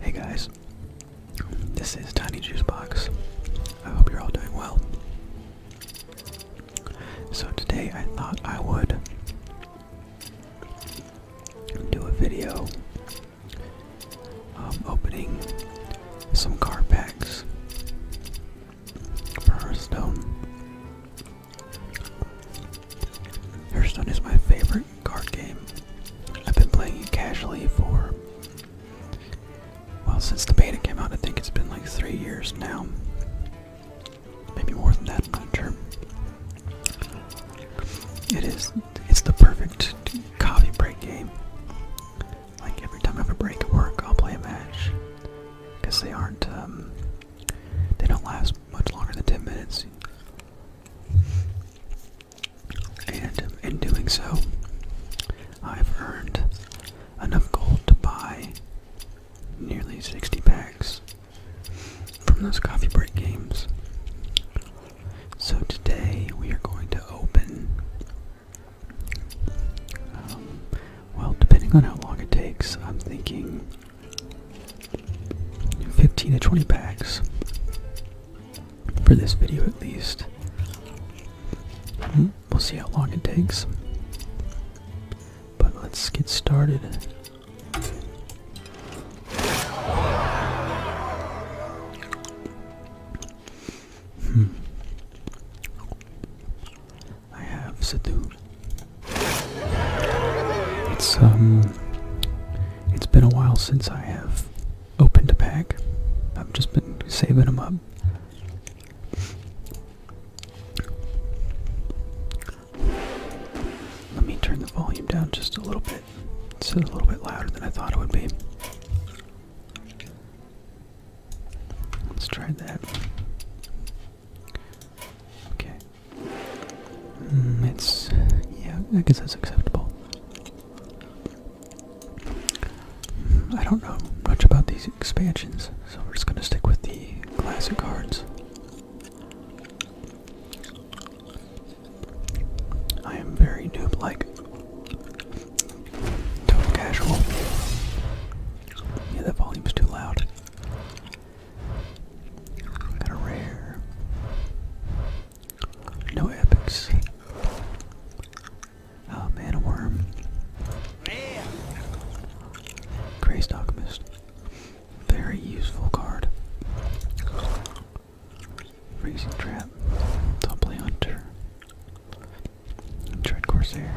Hey guys, this is Tiny Juice Box. I hope you're all doing well. So, today I thought I would do a video um, opening some car packs for Hearthstone. Hearthstone is my favorite card game. I've been playing it casually for, well, since the beta came out, I think it's been like three years now. Maybe more than that, I'm not sure. It is, it's the perfect coffee break game. Like every time I have a break at work, I'll play a match because they aren't um, they don't last much longer than ten minutes. And in doing so, I've earned enough gold to buy nearly 60 packs from those coffee break games. So today we are going to open um, well, depending on how long it takes, I'm thinking 15 to 20 packs for this video at least. Hmm, we'll see how long it takes. But let's get started. Hmm. I have Sadhu. It's um it's been a while since I have opened a pack. I've just been saving them up. Let me turn the volume down just a little bit. It's a little bit louder than I thought it would be. Let's try that. Okay. Mm, it's yeah, I guess that's acceptable. Mm, I don't know much about these expansions, so we're just gonna stick with the classic cards. I am very noob-like. Total casual. Yeah, that volume's too loud. Got a rare. No epics. Oh man, a worm. Man. Crazed Alchemist. Very useful card. Freezing Trap. Double Hunter. Dread Corsair,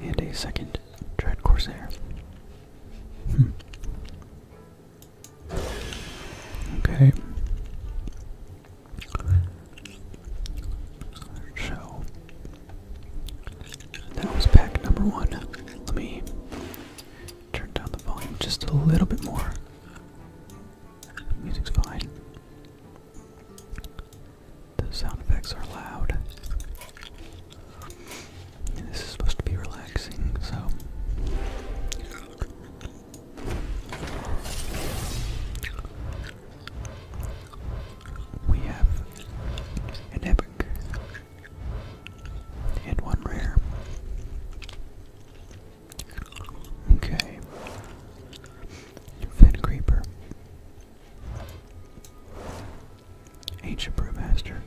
and a second Dread Corsair. Hmm. Okay. So that was pack number one. Let me turn down the volume just a little bit more. The music's fine. The sound effects are loud. this is supposed to be relaxing, so. We have an epic and one rare. Okay. Fen Creeper. Ancient Brewmaster.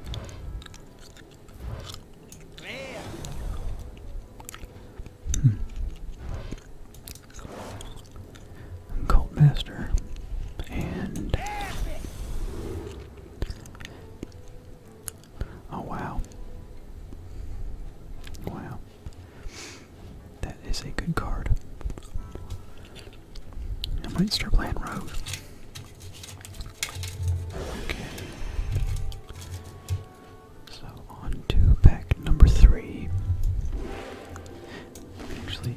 Hmm. Cult Master. And Oh wow. Wow. That is a good card. I might start playing Rogue. Okay. So on to pack number three. Actually,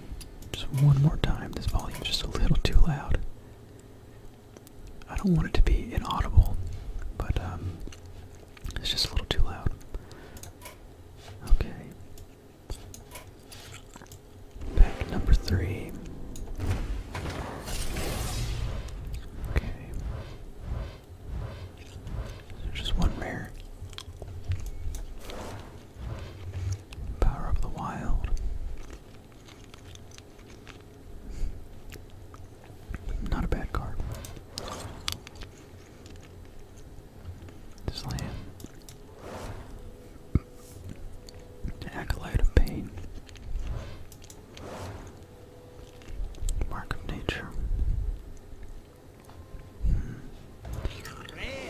just one more time. This volume's just a little too loud. I don't want it to be inaudible, but um, it's just a little too loud. Okay. Pack number three. Okay. just one rare. Power of the Wild. Not a bad card. Slam. acolyte of pain. Mark of nature. Hmm.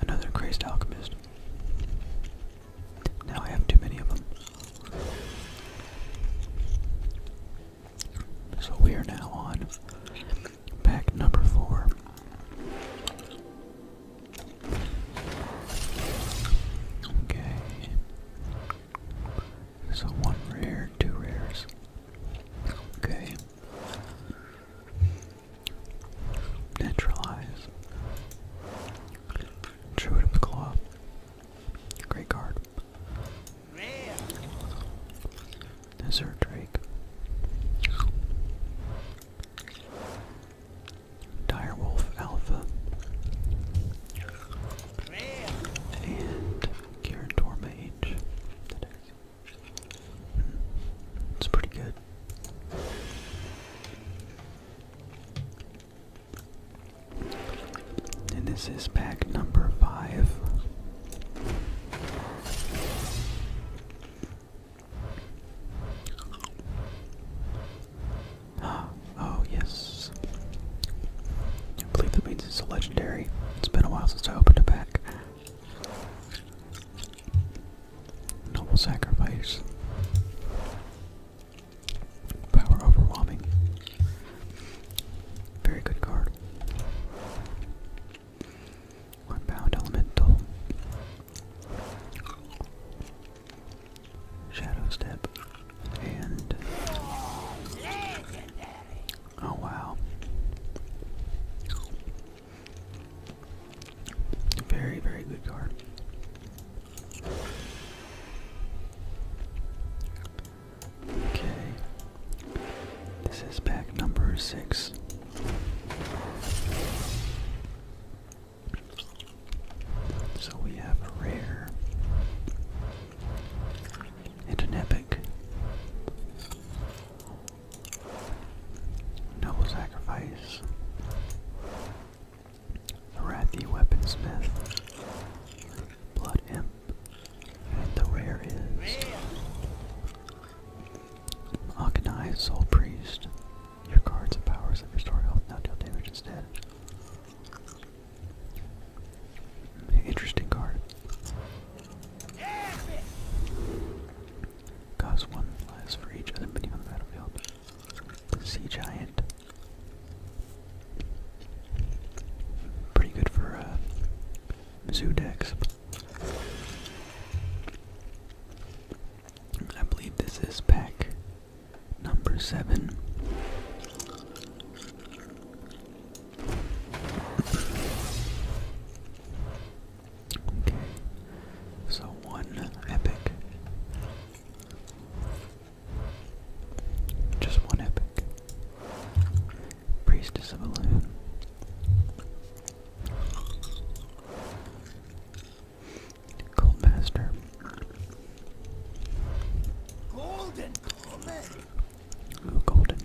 Another crazed alchemist. Now I have too many of them. So we are now on pack number four. Okay. So one rare, two rares. Okay. Naturalize. Druid the Claw. Great card. Desert Drake. Direwolf Alpha. And Karen Torma It's pretty good. And this is pack number five. oh yes. I believe that means it's a legendary. It's been a while since I opened a pack. Noble sacrifice. Power overwhelming. Very good card. Unbound Elemental. Shadow Step. And. Oh wow. Very, very good card. Okay. This is pack number six. So we have a rare and an epic. Noble Sacrifice. The Wrathy Weaponsmith. Blood Imp the rare is Akanai, Soul Priest. Your cards and powers that restore now deal damage instead. Interesting card. Costs one less for each other mini on the battlefield. Sea Giant. Pretty good for uh, zoo decks. I believe this is pack number seven. Okay, so one epic. Just one epic. Priestess of Balloon. Gold Golden. Ooh, golden.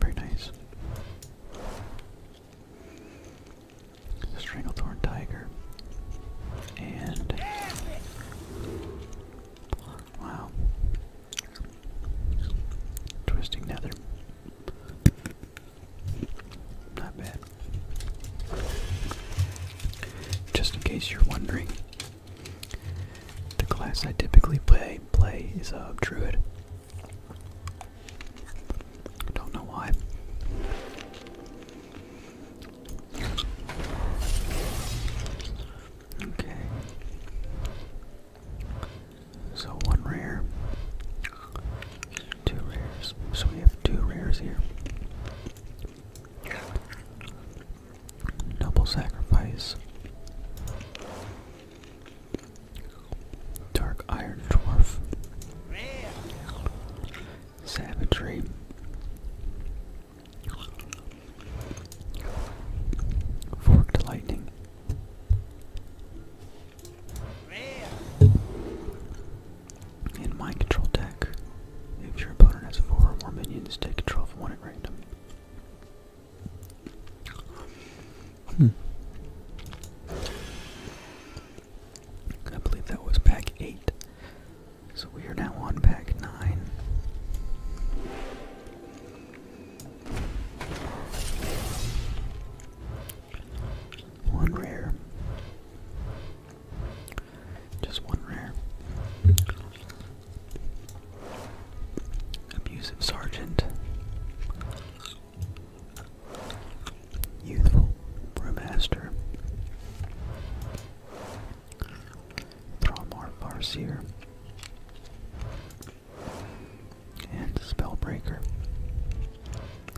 Very nice. Stranglethorn Tiger. And wow, twisting nether, not bad. Just in case you're wondering, the class I typically play play is a uh, druid. Don't know why. Okay. So one rare, two rares. So we have two rares here. Double sacrifice. Dark Iron Dwarf savagery. Forked lightning. In my control deck, if your opponent has four or more minions, take control of one at random. Hmm. I believe that was pack eight. So we are now on pack nine. One rare. Just one rare. Abusive Sergeant. Youthful Brewmaster. Throw more Farseer. And Spellbreaker.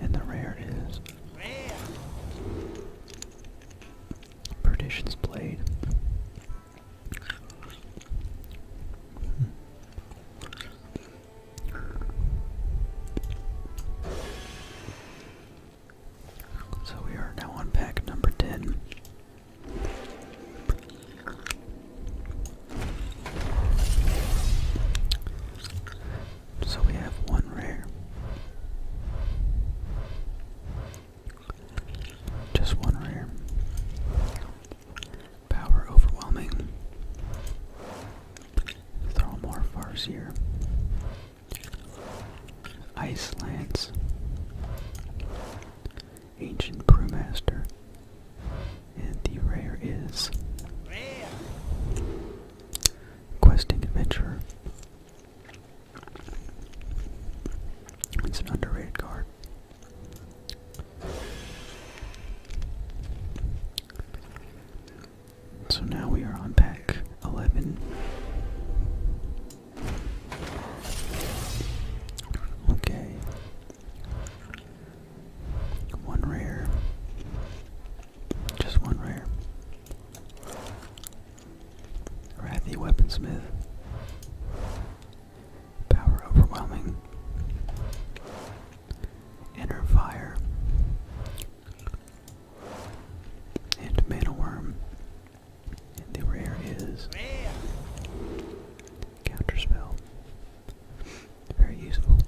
And the rare is Perdition's Blade. So we are now on pack number 10. So we have one rare. Just one rare. Power overwhelming. Throw more farseer. Ice Lance, Ancient Brewmaster, and the rare is Questing Adventurer. It's an underrated card. So now we are on pack 11. Okay. One rare. Just one rare. Wrathy Weaponsmith. Power Overwhelming. Inner Fire. And Mana Worm. And the rare is Counterspell. Very useful.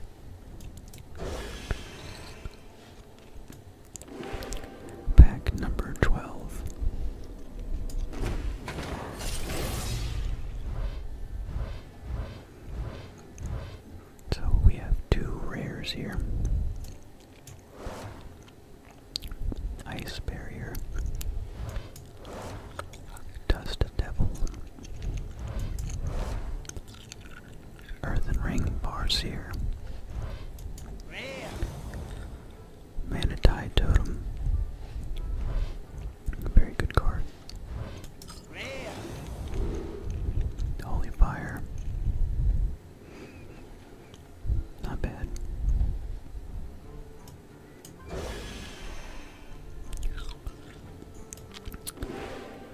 Pack number 12. So we have two rares here. Ice Barrier, Dust Devil, Earthen Ring Barseer, Manatee Totem, very good card. Holy Fire, not bad.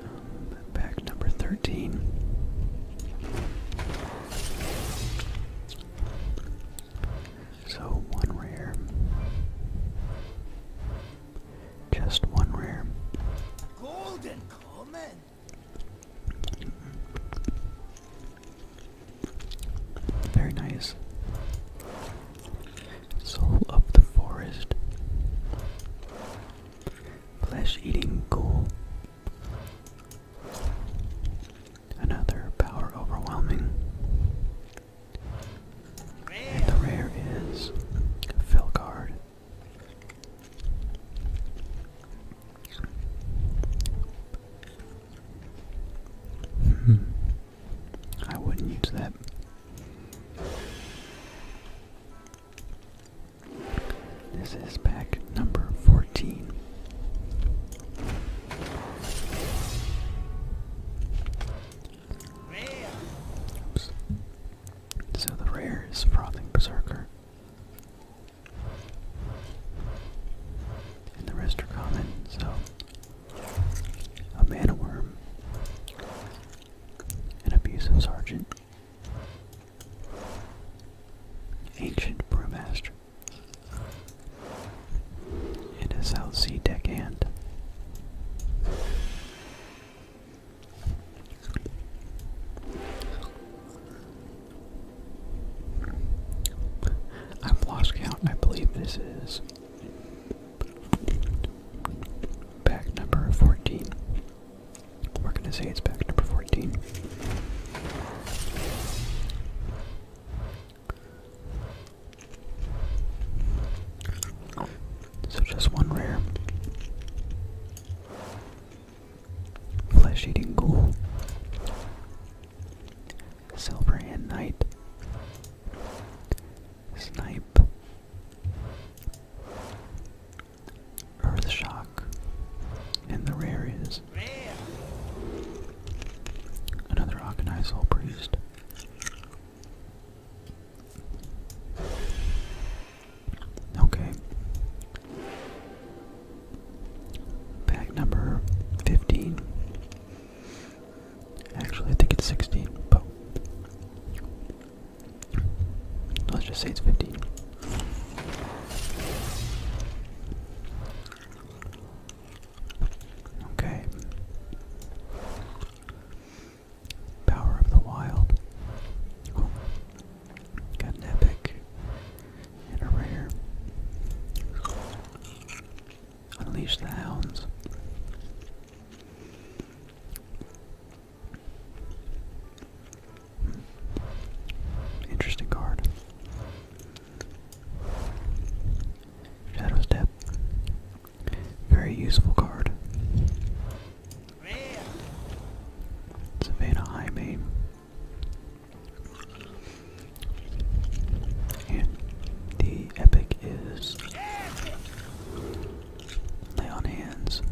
Um, number 13. So one rare. Just one rare. Golden comment. Very nice. Soul of the forest. Flesh eating ghoul. Another power overwhelming. the rare is Felguard. Hmm. I wouldn't use that. This is pack number 14. Oops. So the rare is Frothing Berserker. And the rest are common, so a mana worm, an abusive sergeant, ancient brewmaster, and a South Sea deckhand. I've lost count. I believe this is back number 14. We're going to say it's back number 14. So just one rare. Flesh eating ghoul. Silverhand Knight. Snipe. Earth Shock. And the rare is. Another Arcanized Soul Priest. Okay. Pack number 15. Actually, I think it's 16, but let's just say it's 15. Okay. Power of the Wild. Got an epic and a rare. Unleash the hounds. Hmm. Interesting card. Shadow Step. Very useful card. Savannah High the epic is Lay on Hands.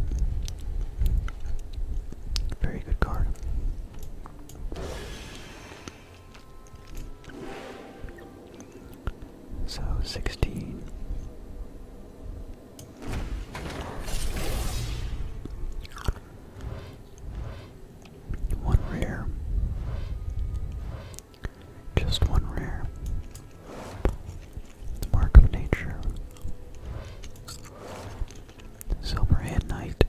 Very good card. So sixteen. One rare. Just one rare. The mark of nature. Silverhead Knight.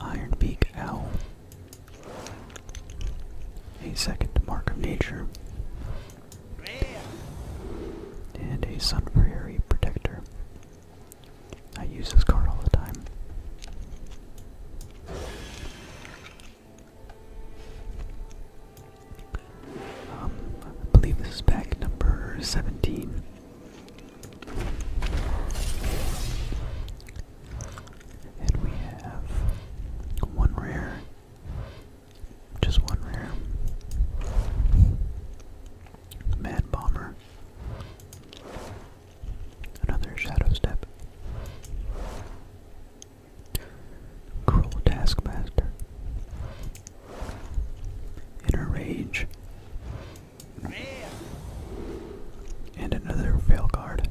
Iron Beak Owl. A second mark of nature. And a Sun Prairie Protector. I use this card all the time. Um, I believe this is pack number 17. And we have one rare. Just one rare. Mad Bomber. Another Shadow Step. Cruel Taskmaster. Inner Rage. And another Fail Guard.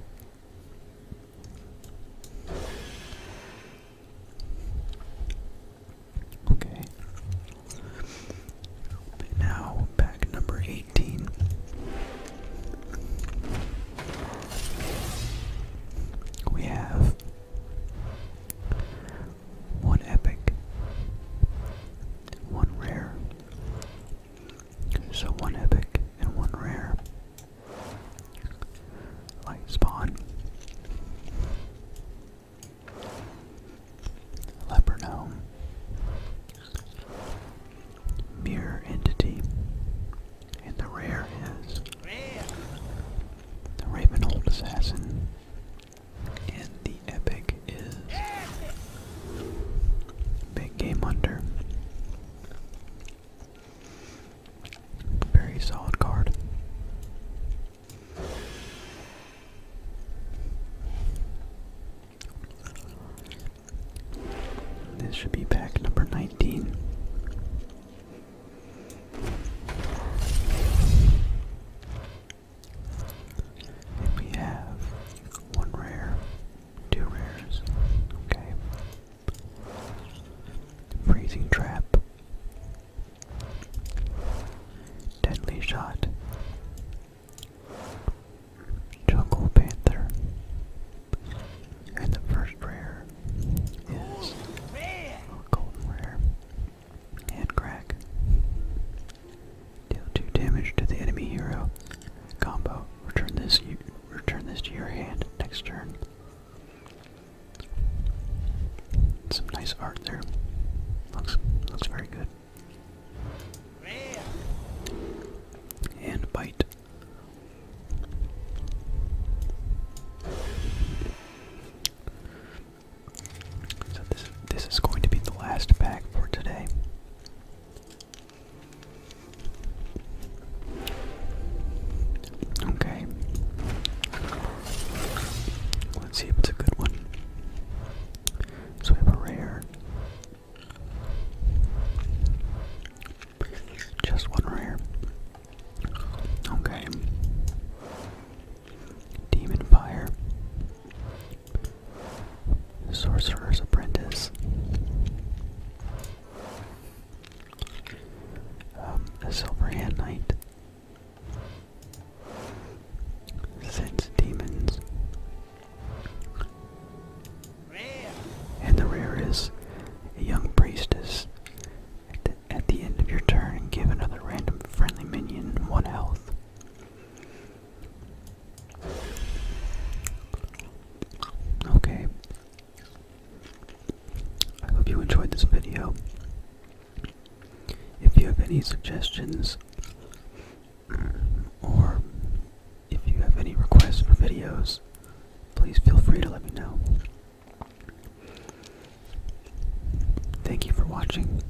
Okay. Now pack number 18. We have one epic, one rare. So one epic and one rare. Light spawn. Leperno. Mirror entity. And the rare is the Ravenhold Assassin. And the epic is Big Game Hunter. Very solid card. This should be pack number 19. we have one rare, two rares. Okay. Freezing trap, Deadly Shot, Jungle Panther, and the first rare is Golden Rare, and Crack. Deal 2 damage to the enemy hero. Combo. Return this, return this to your hand next turn some nice art there. Looks looks very good. And bite. So this this is going to be the last pack for today. Okay. Let's see if it's a good one. So we have a rare. Just one rare. Okay. Demon Fire. Sorcerer's Apprentice. a um, Silver Hand Knight. Sense demons. And the rare is a young priestess. At at the end of your turn, give another random friendly minion one health. Okay. I hope you enjoyed this video. If you have any suggestions mm, or if you have any requests for videos, please feel free to let me know. Thank you for watching.